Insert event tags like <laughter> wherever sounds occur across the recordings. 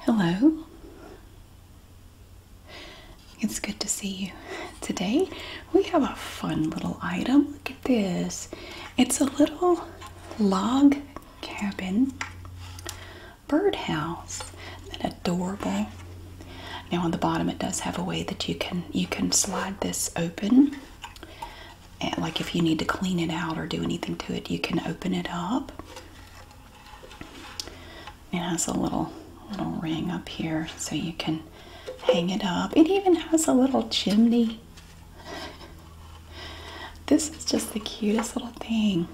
Hello. It's good to see you. Today we have a fun little item. Look at this. It's a little log cabin birdhouse. is adorable? Now on the bottom it does have a way that you can you can slide this open like if you need to clean it out or do anything to it, you can open it up. It has a little little ring up here so you can hang it up. It even has a little chimney. this is just the cutest little thing.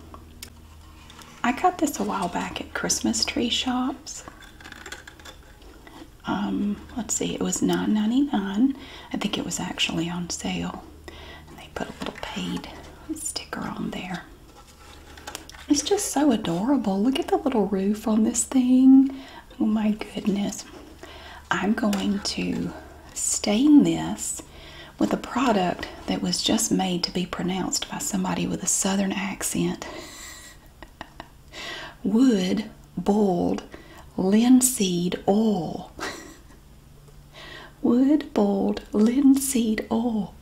I got this a while back at Christmas tree shops. Um, let's see, it was $9.99. I think it was actually on sale. And they put a little paid sticker on there. It's just so adorable. Look at the little roof on this thing. Oh my goodness. I'm going to stain this with a product that was just made to be pronounced by somebody with a southern accent. <laughs> <laughs> wood bold, linseed oil. <laughs> wood bold, linseed oil.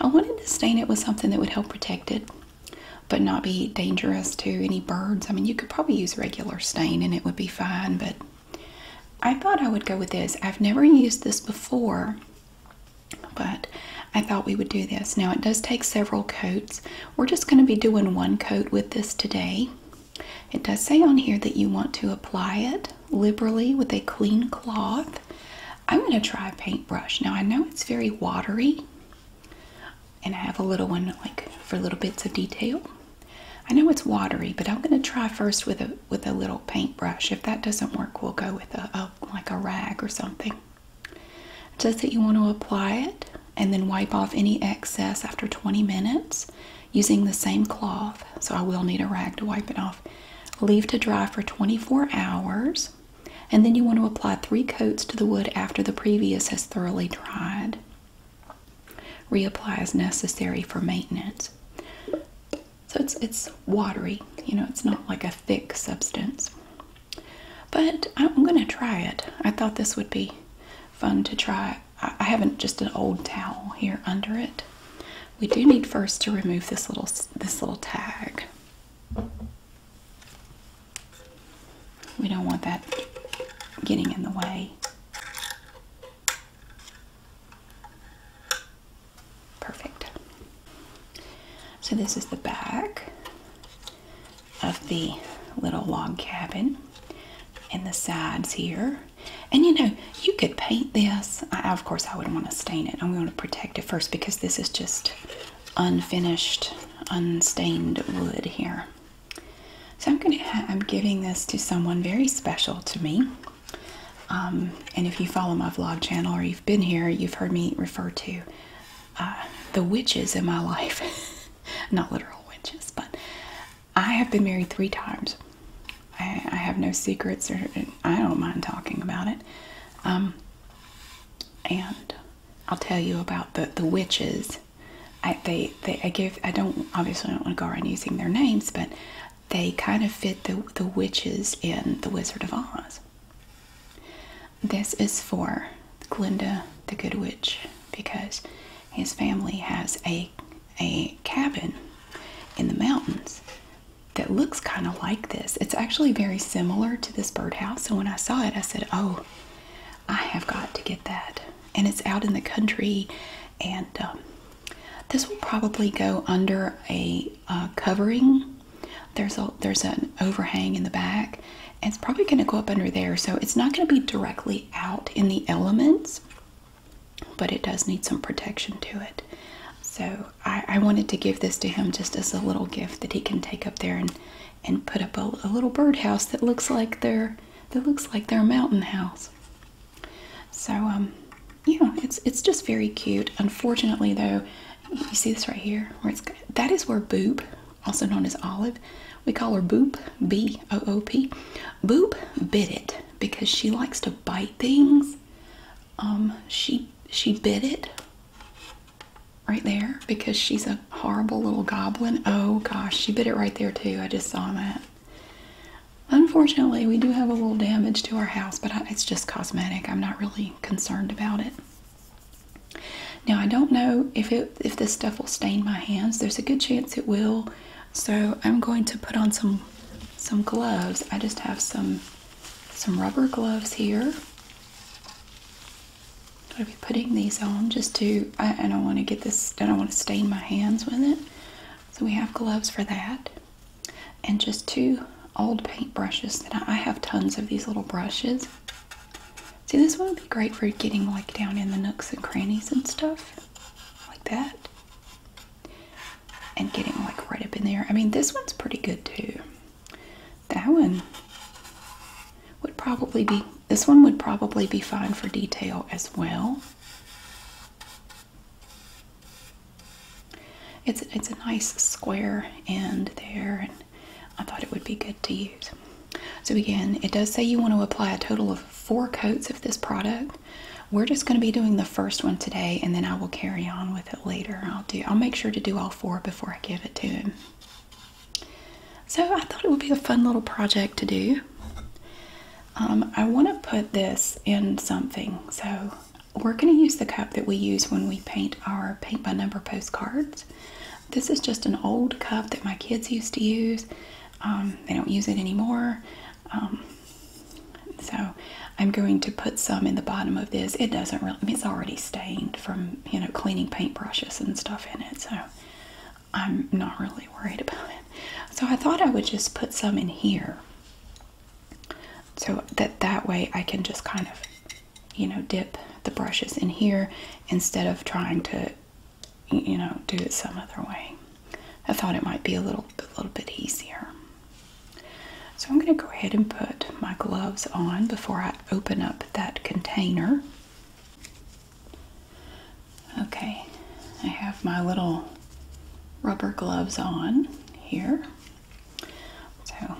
I wanted to stain it with something that would help protect it, but not be dangerous to any birds. I mean, you could probably use regular stain and it would be fine, but I thought I would go with this. I've never used this before, but I thought we would do this. Now, it does take several coats, we're just going to be doing one coat with this today. It does say on here that you want to apply it liberally with a clean cloth. I'm going to try a paintbrush. Now I know it's very watery and I have a little one like for little bits of detail. I know it's watery, but I'm going to try first with a with a little paintbrush. If that doesn't work, we'll go with a, a like a rag or something. Just that you want to apply it and then wipe off any excess after 20 minutes using the same cloth. So I will need a rag to wipe it off. Leave to dry for 24 hours and then you want to apply three coats to the wood after the previous has thoroughly dried. Reapply as necessary for maintenance. So it's it's watery, you know, it's not like a thick substance. But I'm gonna try it. I thought this would be fun to try. I haven't just an old towel here under it. We do need first to remove this little this little tag. We don't want that getting in the way. Perfect. So this is the back of the little log cabin and the sides here. And you know, you could paint this. I, of course, I would not want to stain it. I'm going to protect it first because this is just unfinished, unstained wood here. So I'm going to, I'm giving this to someone very special to me. Um, and if you follow my vlog channel or you've been here, you've heard me refer to uh, the witches in my <laughs> life. <laughs> Not literal witches, but I have been married three times. I, have no secrets, or I don't mind talking about it. Um, and I'll tell you about the the witches. I they, they give I don't obviously don't want to go around using their names, but they kind of fit the the witches in the Wizard of Oz. This is for Glinda the Good Witch because his family has a a cabin in the mountains that looks kind of like this. It's actually very similar to this birdhouse. So when I saw it, I said, "Oh, I have got to get that." And it's out in the country, and um, this will probably go under a uh, covering. There's a there's an overhang in the back, it's probably going to go up under there, so it's not going to be directly out in the elements, but it does need some protection to it. So I, wanted to give this to him just as a little gift that he can take up there and and put up a, a little birdhouse that looks like their that looks like their mountain house. So um, yeah, it's it's just very cute. Unfortunately though, you see this right here where it's that is where boob also known as Olive. We call her Boop, B O O P. Boop bit it because she likes to bite things. Um, she she bit it right there because she's a horrible little goblin. Oh gosh, she bit it right there too. I just saw that. Unfortunately, we do have a little damage to our house, but it's just cosmetic. I'm not really concerned about it. Now I don't know if if this stuff will stain my hands. There's a good chance it will. So I'm going to put on some some gloves. I just have some some rubber gloves here. I'll be putting these on just to I, don't want to get this I don't want to stain my hands with it. So we have gloves for that. And just two old paint brushes I have tons of these little brushes. See, this one would be great for getting like down in the nooks and crannies and stuff like that. And getting like right up in there. I mean, this one's pretty good too. That one would probably be, this one would probably be fine for detail as well. It's, it's a nice square end there. I thought it would be good to use. So again, it does say you want to apply a total of four coats of this product. We're just going to be doing the first one today and then I will carry on with it later. I'll do I'll make sure to do all four before I give it to him. So I thought it would be a fun little project to do. Um, I want to put this in something. So we're going to use the cup that we use when we paint our paint by number postcards. This is just an old cup that my kids used to use. Um, they don't use it anymore. Um, so I'm going to put some in the bottom of this. It doesn't really, it's already stained from, you know, cleaning paintbrushes and stuff in it. So I'm not really worried about it. So I thought I would just put some in here. So that that way I can just kind of, you know, dip the brushes in here instead of trying to you know, do it some other way. I thought it might be a little, a little bit easier. So I'm going to go ahead and put my gloves on before I open up that container. Okay, I have my little rubber gloves on here. So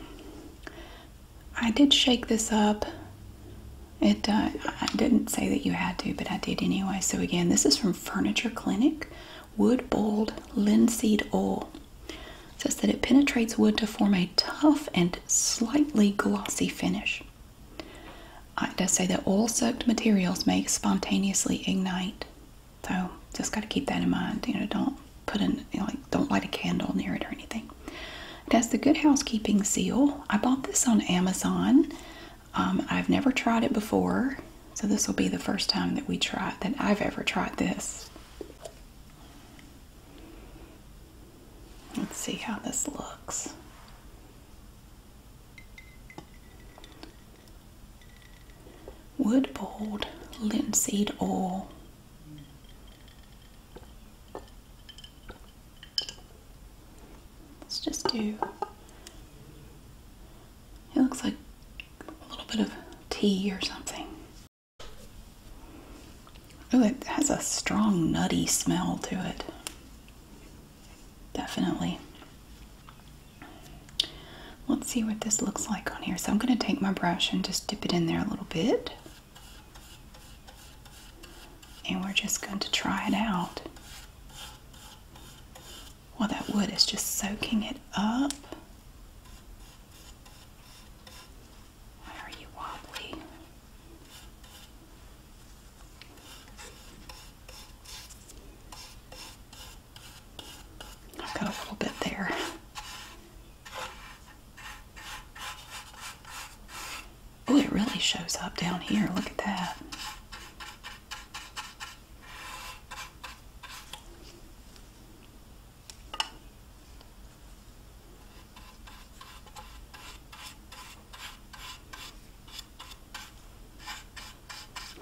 I did shake this up. It uh, I didn't say that you had to, but I did anyway. So again, this is from Furniture Clinic, wood boiled linseed oil. says that it penetrates wood to form a tough and slightly glossy finish. Uh, it does say that oil-soaked materials may spontaneously ignite, so just got to keep that in mind. You know, don't put in like don't light a candle near it or anything. It has the Good Housekeeping seal. I bought this on Amazon. Um, I've never tried it before, so this will be the first time that we try that I've ever tried this. Let's see how this looks. Wood bold linseed oil. Let's just do, it looks like a little bit of tea or something. Oh, it has a strong nutty smell to it. Definitely. Let's see what this looks like on here. So I'm going to take my brush and just dip it in there a little bit. And we're just going to try it out. Well, that wood is just soaking it up. Why are you wobbly? I've got a little bit there. Oh, it really shows up down here. Look at that.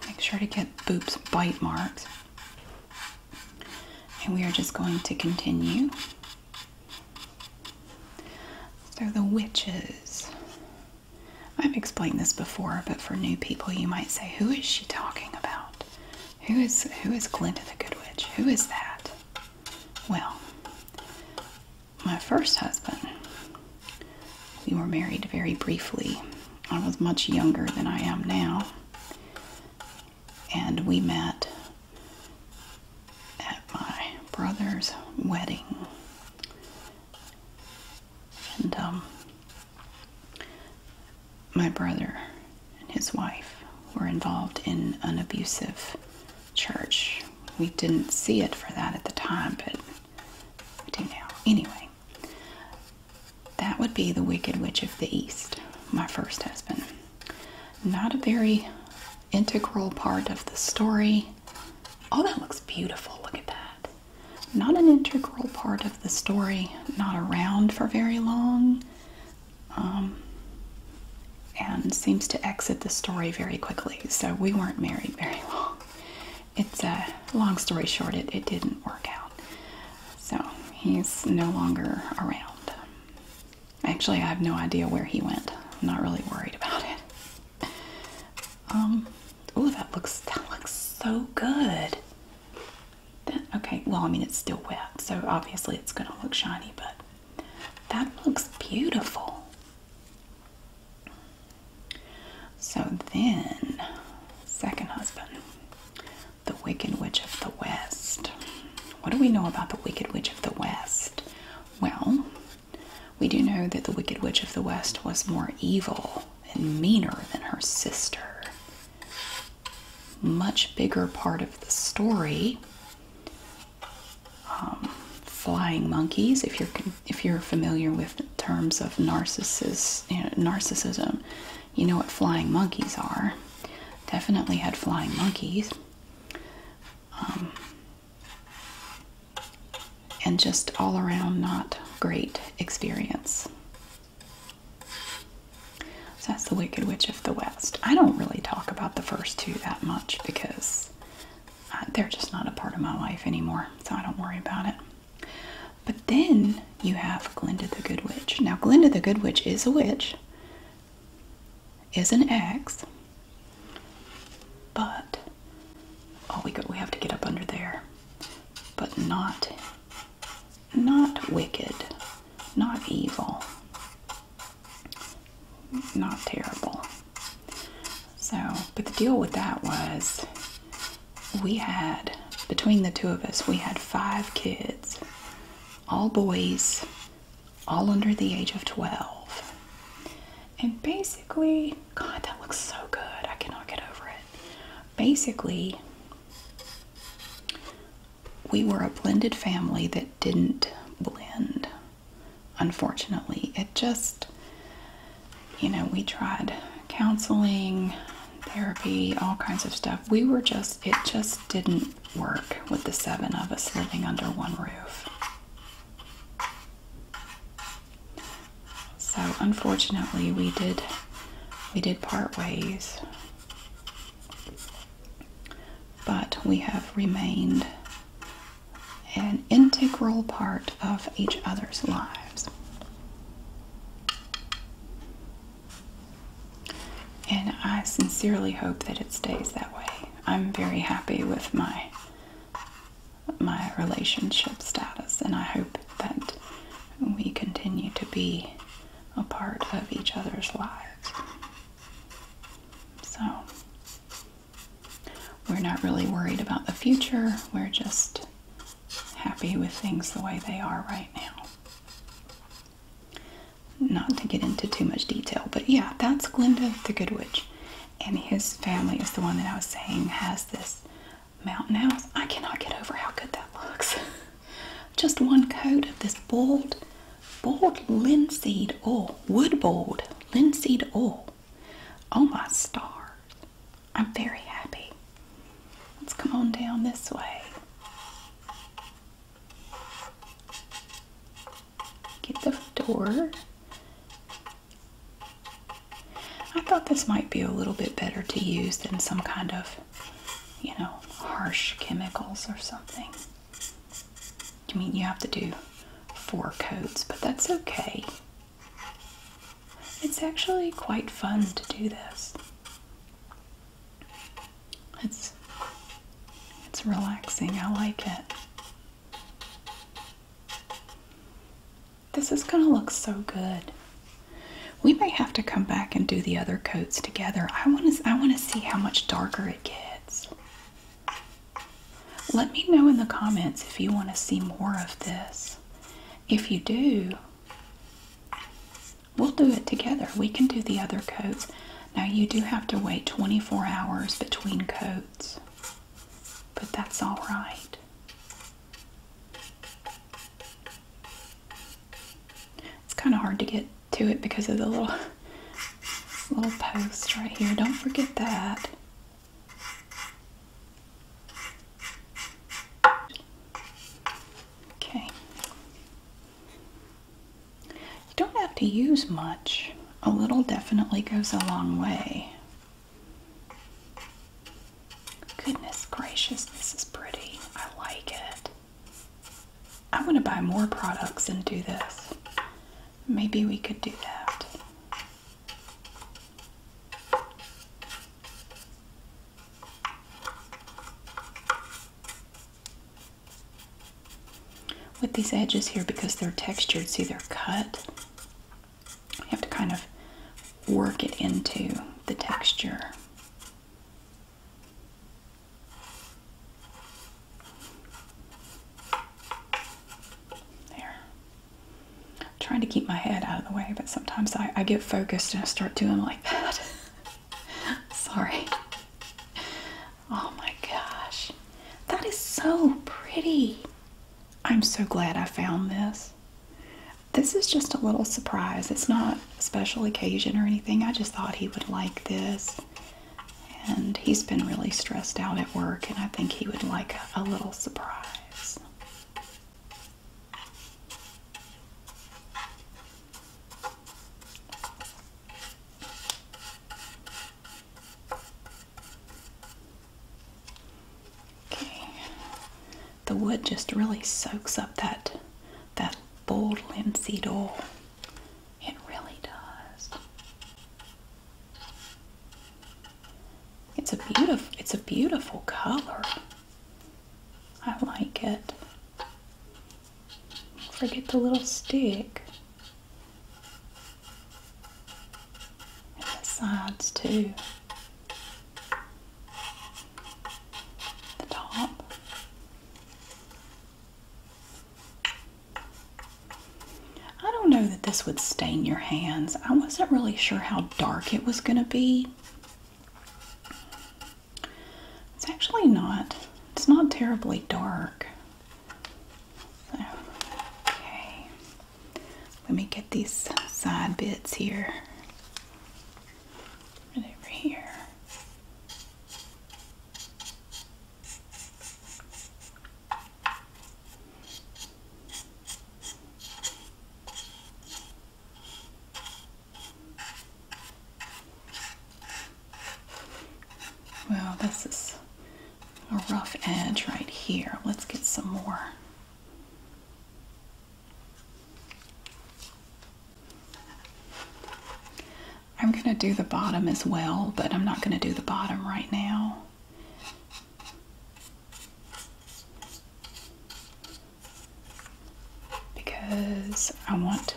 Make sure to get Boop's bite marks. And we are just going to continue so the witches. I've explained this before, but for new people, you might say, "Who is she talking about? Who is who is Glinda the Good Witch? Who is that?" Well, my first husband. We were married very briefly. I was much younger than I am now, and we met at my brother's wedding. And um, my brother and his wife were involved in an abusive church. We didn't see it for that at the time, but do now. Anyway, that would be the Wicked Witch of the East, my first husband. Not a very integral part of the story. Oh, that looks beautiful. Look at that. Not an integral part of the story, not around for very long, um, and seems to exit the story very quickly. So we weren't married very long. It's a uh, long story short, it, it didn't work out. So he's no longer around. Actually, I have no idea where he went. I'm not really worried about it. Um, oh, that looks that looks so good. okay, well, I mean it's still wet, so obviously it's gonna look shiny, but that looks beautiful. So then, second husband, the Wicked Witch of the West. What do we know about the Wicked Witch of the West? Well, we do know that the Wicked Witch of the West was more evil and meaner than her sister. Much bigger part of the story. Um, flying monkeys, if you're if you're familiar with terms of narcissist, narcissism, you know what flying monkeys are. Definitely had flying monkeys. Um, and just all around not great experience. So that's The Wicked Witch of the West. I don't really talk about the first two that much because uh, they're just not a part of my life anymore, so I don't worry about it. But then you have Glinda the Good Witch. Now, Glinda the Good Witch is a witch, is an ex, but oh, we go, we have to get up under there, but not not wicked, not evil, not terrible. So, but the deal with that was we had between the two of us, we had five kids, all boys, all under the age of 12. And basically, God, that looks so good. I cannot get over it. Basically, we were a blended family that didn't blend. Unfortunately, it just, you know, we tried counseling, therapy, all kinds of stuff. We were just, it just didn't work with the seven of us living under one roof. So unfortunately we did we did part ways. But we have remained an integral part of each other's lives. And I sincerely hope that it stays that way. I'm very happy with my my relationship status, and I hope that we continue to be a part of each other's lives. So, we're not really worried about the future, we're just happy with things the way they are right now. Not to get into too much detail, but yeah, that's Glinda the Good Witch and his family is the one that I was saying has this mountain house. I cannot get over how good that looks. <laughs> Just one coat of this bold, boiled linseed oil, wood bold linseed oil. Oh my stars. I'm very happy. Let's come on down this way. Get the door. I thought this might be a little bit better to use than some kind of, you know, harsh chemicals or something. I mean, you have to do four coats, but that's okay. It's actually quite fun to do this. It's it's relaxing. I like it. This is going to look so good. We may have to come back and do the other coats together. I want to I want to see how much darker it gets. Let me know in the comments if you want to see more of this. If you do, we'll do it together. We can do the other coats. Now you do have to wait 24 hours between coats but that's all right. It's kind of hard to get to it because of the little <laughs> little post right here. Don't forget that. Okay. You don't have to use much a little definitely goes a long way. Goodness gracious, this is pretty. I like it. I want to buy more products and do this. Maybe we could do that with these edges here because they're textured, see they're cut. You have to kind of work it into the texture. There. trying to keep my head out of the way, but sometimes I, get focused and I start doing like that. <laughs> Sorry. Oh my gosh. That is so pretty. I'm so glad I found this. This is just a little surprise. It's not a special occasion or anything. I just thought he would like this. And he's been really stressed out at work, and I think he would like a, little surprise. Okay. The wood just really soaks up that that bold linseed oil. It really does. It's a beautiful it's a beautiful color. I like it. Forget the little stick and the sides too. The top. I don't know that this would stain your hands. I wasn't really sure how dark it was going to be. It's actually not. It's not terribly dark. Okay. Let me get these side bits here. Right over here. Well, this is a rough edge right here. Let's get some more. I'm going to do the bottom as well, but I'm not going to do the bottom right now. Because I want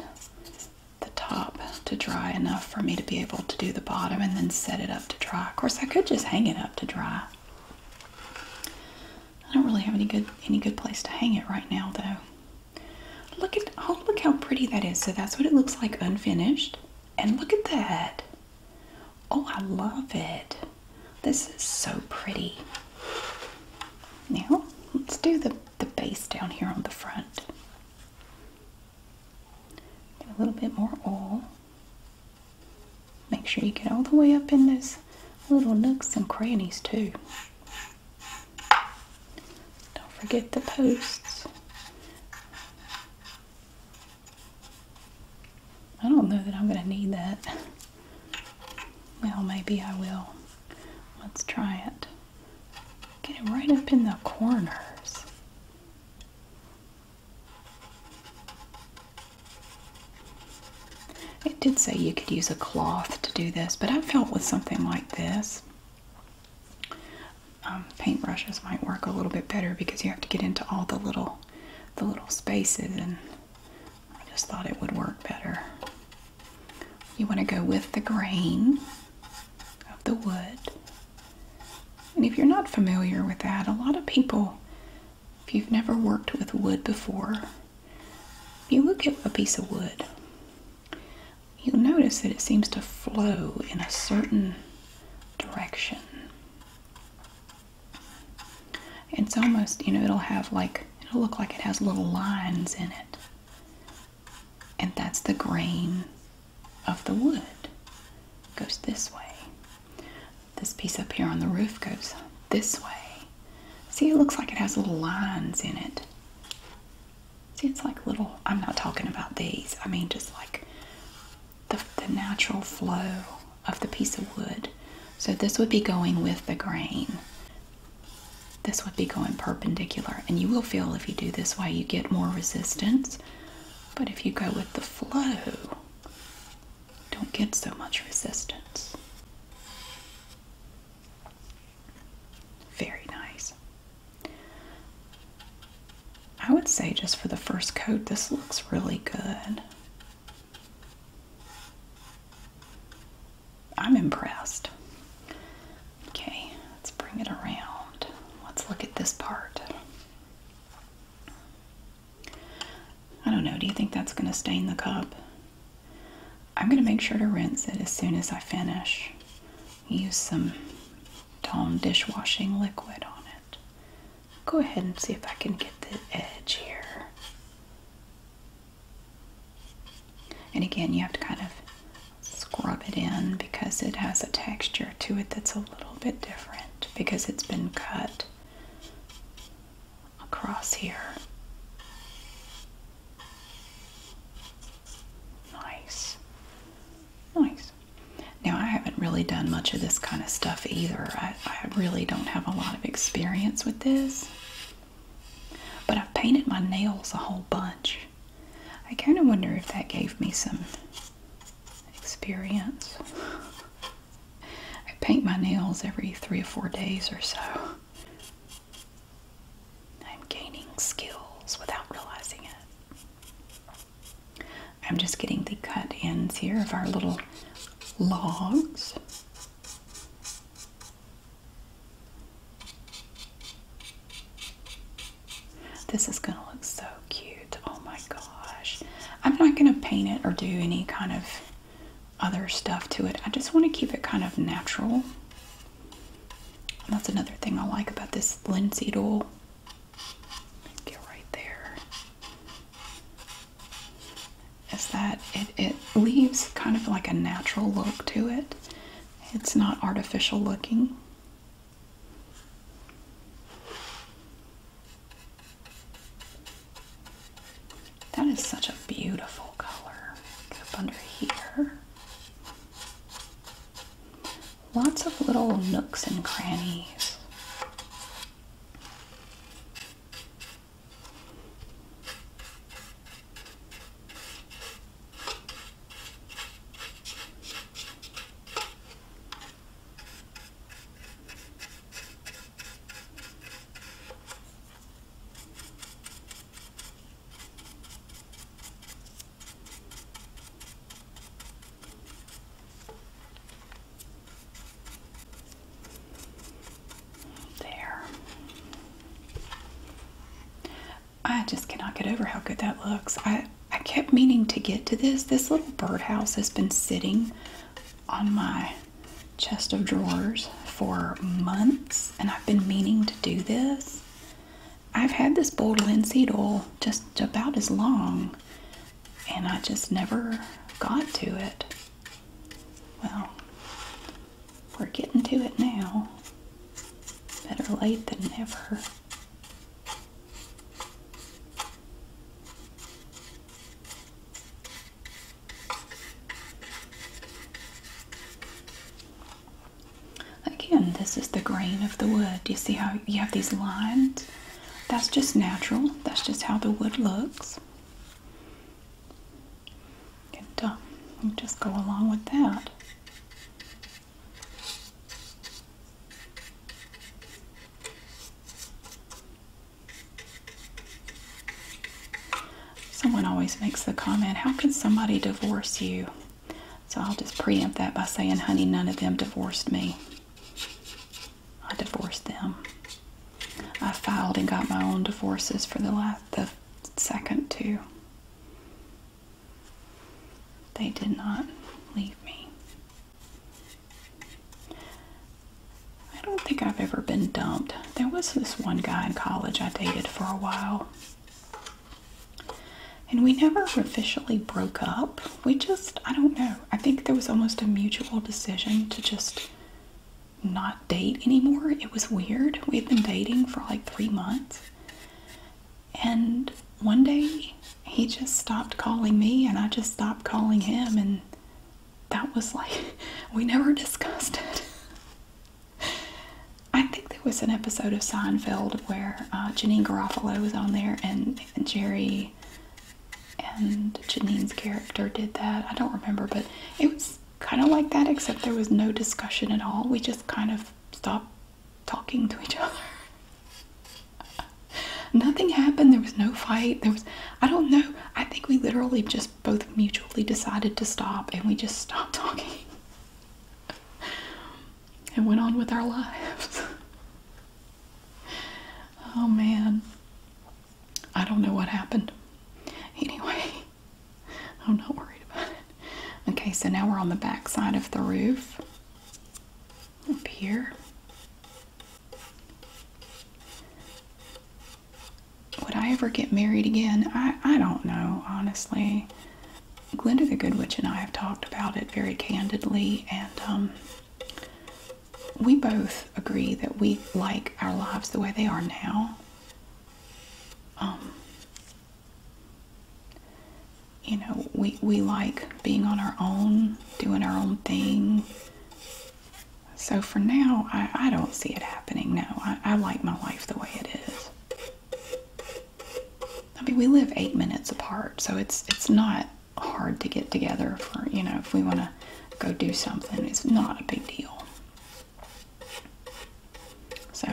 the top to dry enough for me to be able to do the bottom and then set it up to dry. Of course, I could just hang it up to dry. I don't really have any good any good place to hang it right now though. Look at oh look how pretty that is. So that's what it looks like unfinished. And look at that. Oh, I love it. This is so pretty. Now, let's do the the base down here on the front. Get a little bit more oil. Make sure you get all the way up in those little nooks and crannies too. Don't forget the posts. I don't know that I'm going to need that. Well, maybe I will. Let's try it. Get it right up in the corners. It did say you could use a cloth to do this, but I felt with something like this, um, paint brushes might work a little bit better because you have to get into all the little, the little spaces, and I just thought it would work better. You want to go with the grain of the wood. And if you're not familiar with that, a lot of people, if you've never worked with wood before, if you look at a piece of wood, you'll notice that it seems to flow in a certain direction. It's almost, you know, it'll have like, it'll look like it has little lines in it. And that's the grain of the wood goes this way. This piece up here on the roof goes this way. See, it looks like it has little lines in it. See, it's like little, I'm not talking about these. I mean, just like the, natural flow of the piece of wood. So this would be going with the grain. This would be going perpendicular. And you will feel if you do this way, you get more resistance. But if you go with the flow, don't get so much resistance. Very nice. I would say just for the first coat, this looks really good. I'm impressed. Okay, let's bring it around. Let's look at this part. I don't know. Do you think that's going to stain the cup? I'm going to make sure to rinse it as soon as I finish. Use some Dawn dishwashing liquid on it. Go ahead and see if I can get the edge here. And again, you have to kind of scrub it in because it has a texture to it that's a little bit different because it's been cut across here. Nice. Nice. Now, I haven't really done much of this kind of stuff either. I really don't have a lot of experience with this. But I've painted my nails a whole bunch. I kind of wonder if that gave me some experience. <laughs> I paint my nails every three or four days or so. I'm gaining skills without realizing it. I'm just getting the cut ends here of our little logs. This is going to look so cute. Oh my gosh. I'm not going to paint it or do any kind of other stuff to it. I just want to keep it kind of natural. That's another thing I like about this linseed oil. Get right there. Is that it, it leaves kind of like a natural look to it. It's not artificial looking. That is such a beautiful color. up under here. Lots of little nooks and crannies. There. I just cannot get over how good that looks. I I kept meaning to get to this. This little birdhouse has been sitting on my chest of drawers for months, and I've been meaning to do this. I've had this boiled linseed oil just about as long, and I just never got to it. Well, we're getting to it now. Better late than never. Again, this is the grain of the wood. You see how you have these lines? That's just natural. That's just how the wood looks. And just go along with that. Someone always makes the comment, How can somebody divorce you? So I'll just preempt that by saying, Honey, none of them divorced me. I divorced them. I filed and got my own divorces for the last, the second two. They did not leave me. I don't think I've ever been dumped. There was this one guy in college I dated for a while. And we never officially broke up. We just, I don't know. I think there was almost a mutual decision to just not date anymore. It was weird. We had been dating for like three months. And one day he just stopped calling me and I just stopped calling him and that was like <laughs> we never discussed it. <laughs> I think there was an episode of Seinfeld where uh, Janine Garofalo was on there and, and Jerry and Janine's character did that. I don't remember, but it was kind of like that except there was no discussion at all. We just kind of stopped talking to each <laughs> other. Nothing happened. There was no fight. There was, I don't know. I think we literally just both mutually decided to stop and we just stopped <laughs> talking and went on with our lives. oh man. I don't know what happened. Anyway, <laughs> I'm not worried about it. Okay, so now we're on the back side of the roof. Up here. Would I ever get married again? I, I don't know, honestly. Glinda the Good Witch and I have talked about it very candidly, and um, we both agree that we like our lives the way they are now. Um, you know, we, we like being on our own, doing our own thing, so for now, I, don't see it happening. No, I, I like my life the way it is. I mean, we live eight minutes apart, so it's it's not hard to get together for you know if we want to go do something. It's not a big deal. So,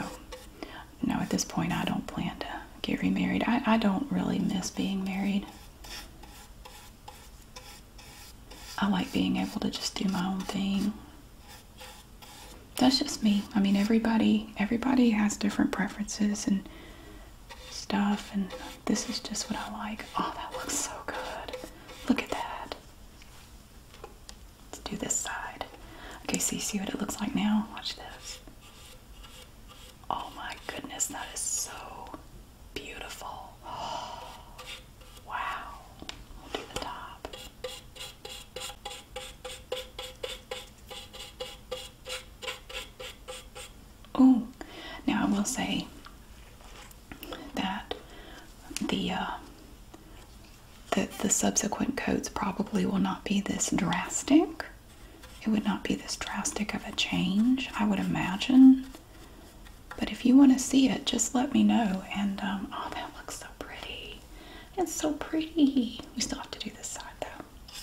no, at this point, I don't plan to get remarried. I, I don't really miss being married. I like being able to just do my own thing. That's just me. I mean, everybody everybody has different preferences and stuff, and this is just what I like. Oh, that looks so good. Look at that. Let's do this side. Okay, so you see what it looks like now? Watch this. Oh my goodness, that is so Beautiful. wow. We'll do the top. Oh, now I will say that the uh, the the subsequent coats probably will not be this drastic. It would not be this drastic of a change, I would imagine. But if you want to see it, just let me know. And um, oh, that looks so pretty. It's so pretty. We still have to do this side though.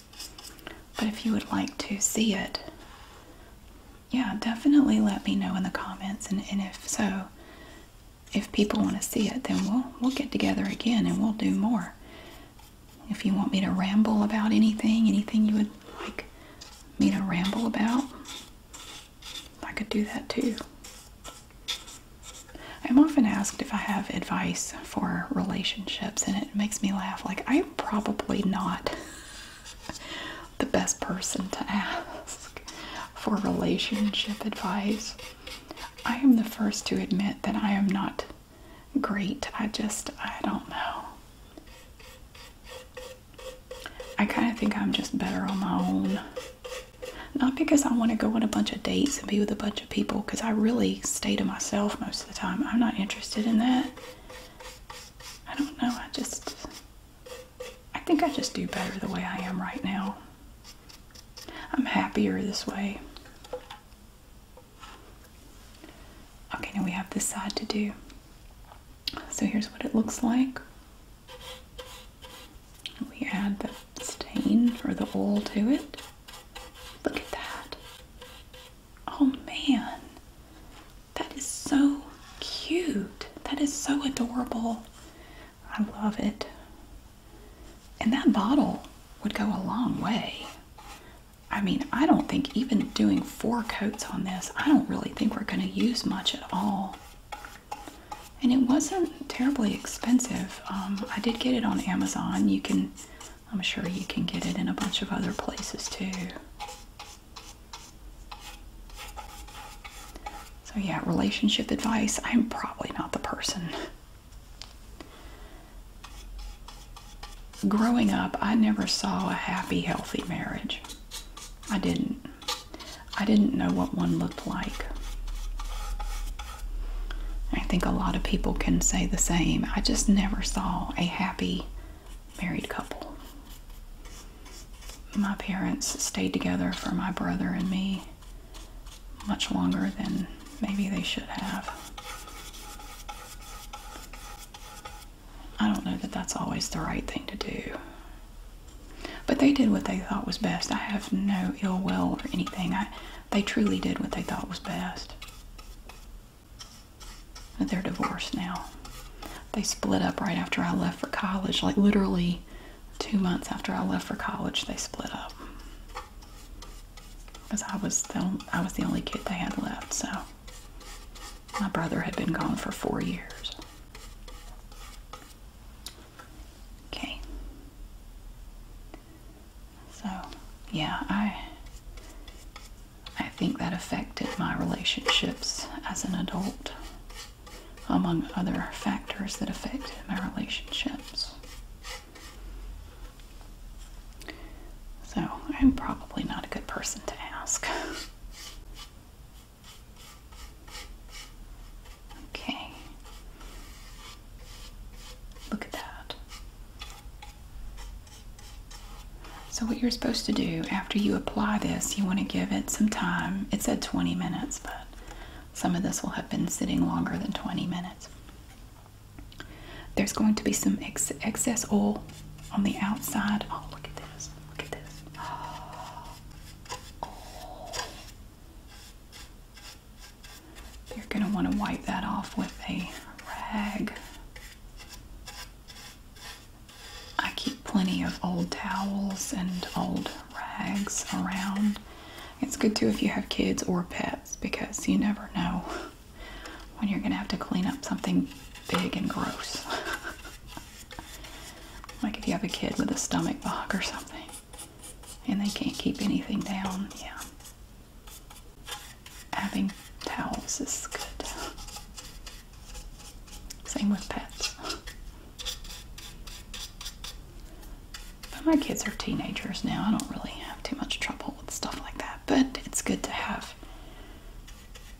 But if you would like to see it, yeah, definitely let me know in the comments. And, and if so, if people want to see it, then we'll we'll get together again and we'll do more. If you want me to ramble about anything, anything you would like me to ramble about. I could do that too. I'm often asked if I have advice for relationships, and it makes me laugh. Like, I'm probably not <laughs> the best person to ask for relationship advice. I am the first to admit that I am not great. I just, I don't know. I kind of think I'm just better on my own. Not because I want to go on a bunch of dates and be with a bunch of people, because I really stay to myself most of the time. I'm not interested in that. I don't know. I just, I think I just do better the way I am right now. I'm happier this way. Okay, now we have this side to do. So here's what it looks like. We add the stain or the oil to it. Look at that. Oh man, that is so cute. That is so adorable. I love it. And that bottle would go a long way. I mean, I don't think even doing four coats on this, I don't really think we're going to use much at all. And it wasn't terribly expensive. Um, I did get it on Amazon. You can, I'm sure you can get it in a bunch of other places too. So, yeah, relationship advice. I'm probably not the person growing up, I never saw a happy, healthy marriage. I didn't. I didn't know what one looked like. I think a lot of people can say the same. I just never saw a happy married couple. My parents stayed together for my brother and me much longer than maybe they should have. I don't know that that's always the right thing to do. But they did what they thought was best. I have no ill will or anything. I, they truly did what they thought was best. they're divorced now. They split up right after I left for college. Like literally two months after I left for college, they split up. Because I was the I was the only kid they had left, so my brother had been gone for four years. Okay. So, yeah, I I think that affected my relationships as an adult, among other factors that affected my relationships. So, I'm probably not a good person to ask. <laughs> Okay. Look at that. So what you're supposed to do after you apply this, you want to give it some time. It said 20 minutes, but some of this will have been sitting longer than 20 minutes. There's going to be some excess oil on the outside. Oh, look at this. Look at this. Oh. <gasps> You're going to want to wipe that off with a rag. I keep plenty of old towels and old rags around. It's good too if you have kids or pets because you never know when you're going to have to clean up something big and gross. <laughs> Like if you have a kid with a stomach bug or something and they can't keep anything down, yeah. Having towels is good. Same with pets. But my kids are teenagers now. I don't really have too much trouble with stuff like that, but it's good to have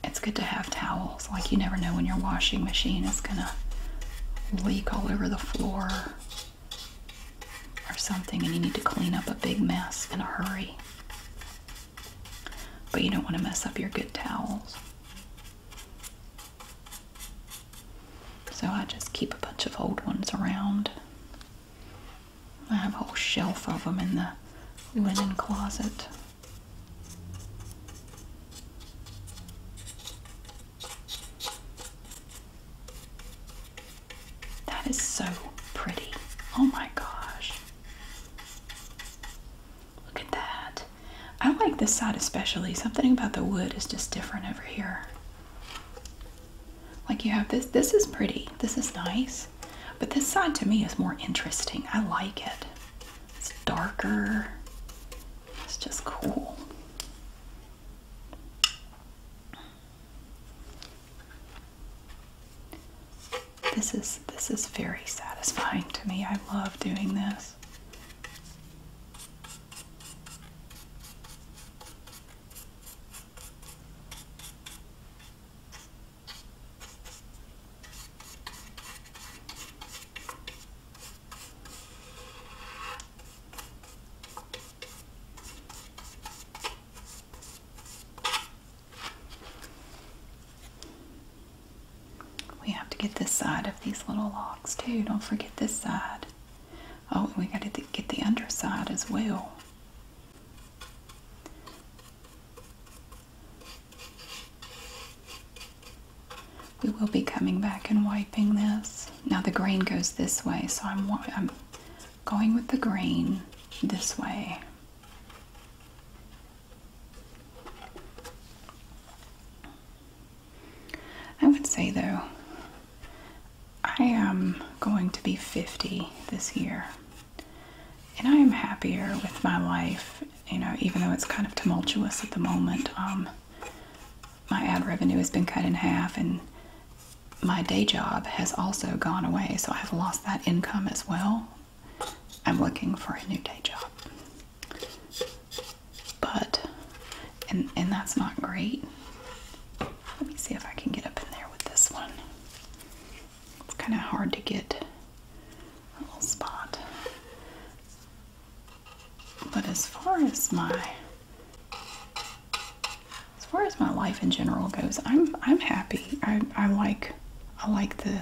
it's good to have towels. Like you never know when your washing machine is gonna leak all over the floor or something and you need to clean up a big mess in a hurry. But you don't want to mess up your good towels. So I just keep a bunch of old ones around. I have a whole shelf of them in the linen closet. That is so pretty. Oh my gosh. Look at that. I like this side especially. Something about the wood is just different over here. Like you have this. This is pretty. This is nice. But this side to me is more interesting. I like it. It's darker. It's just cool. This is this is very satisfying to me. I love doing this. We have to get this side of these little locks too. Don't forget this side. Oh, we got to get the underside as well. We will be coming back and wiping this. Now the grain goes this way, so I'm, I'm going with the grain this way. I would say though, I am going to be 50 this year and I am happier with my life. You know, even though it's kind of tumultuous at the moment, um, my ad revenue has been cut in half, and my day job has also gone away, so I've lost that income as well. I'm looking for a new day job, but and and that's not great. Let me see if I can get up in there with this one. It's kind of hard to get little spot. But as far as my as far as my life in general goes, I'm I'm happy. I, I like I like the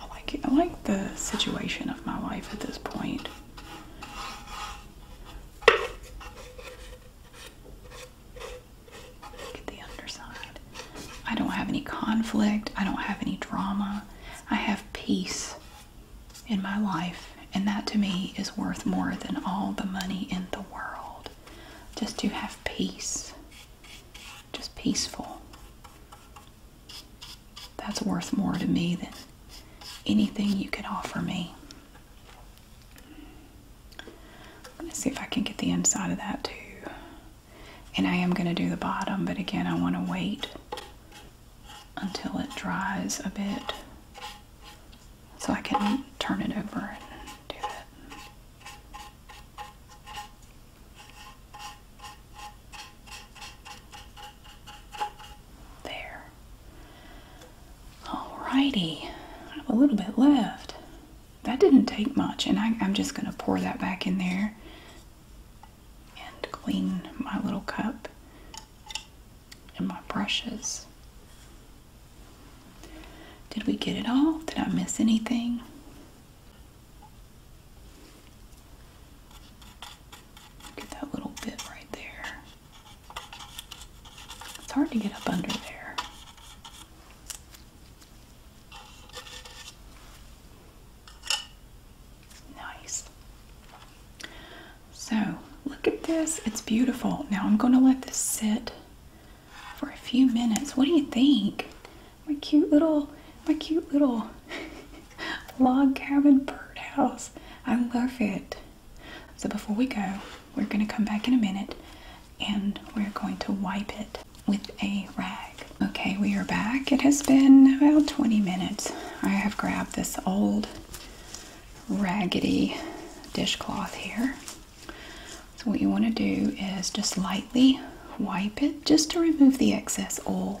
I like I like the situation of my life at this point. Get the underside. I don't have any conflict. I don't have any drama. I have peace in my life. And that to me is worth more than all the money in the world. Just to have peace. Just peaceful. That's worth more to me than anything you could offer me. Let's see if I can get the inside of that too. And I am going to do the bottom, but again, I want to wait until it dries a bit so I can turn it over and do it. There. Alrighty, I have a little bit left. That didn't take much, and I'm just going to pour that back in there and clean my little cup and my brushes. Did we get it all? Did I miss anything? Get that little bit right there. It's hard to get up under there. Nice. So look at this. It's beautiful. Now I'm going to let this sit for a few minutes. What do you think? My cute little, my cute little <laughs> log cabin birdhouse. I love it. So before we go, we're going to come back in a minute and we're going to wipe it with a rag. Okay, we are back. It has been about 20 minutes. I have grabbed this old raggedy dishcloth here. So, what you want to do is just lightly wipe it just to remove the excess oil.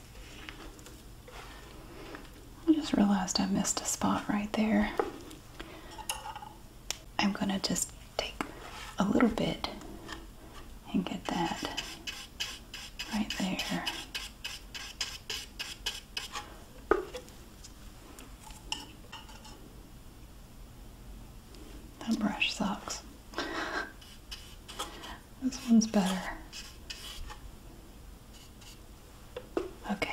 I just realized I missed a spot right there. I'm going to just take a little bit and get that right there. That brush sucks. <laughs> This one's better. Okay.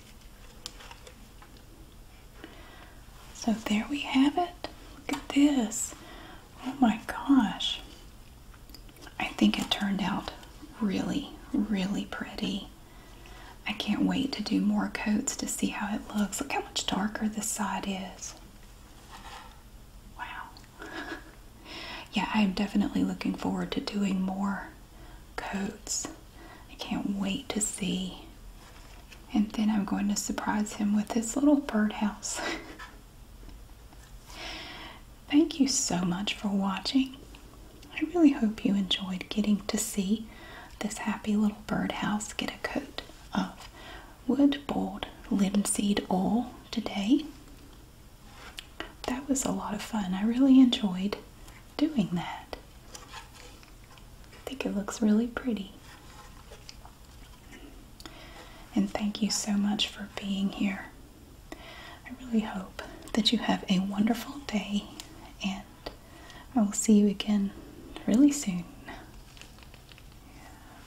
So there we have it. Look at this. Oh my gosh. I think it turned out really, really pretty. I can't wait to do more coats to see how it looks. Look how much darker this side is. Wow. <laughs> yeah, I'm definitely looking forward to doing more coats. I can't wait to see. And then I'm going to surprise him with his little birdhouse. <laughs> Thank you so much for watching. I really hope you enjoyed getting to see this happy little birdhouse get a coat of wood boiled linseed oil today. That was a lot of fun. I really enjoyed doing that. I think it looks really pretty. And thank you so much for being here. I really hope that you have a wonderful day, and I will see you again really soon.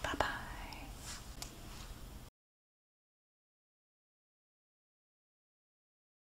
Bye bye.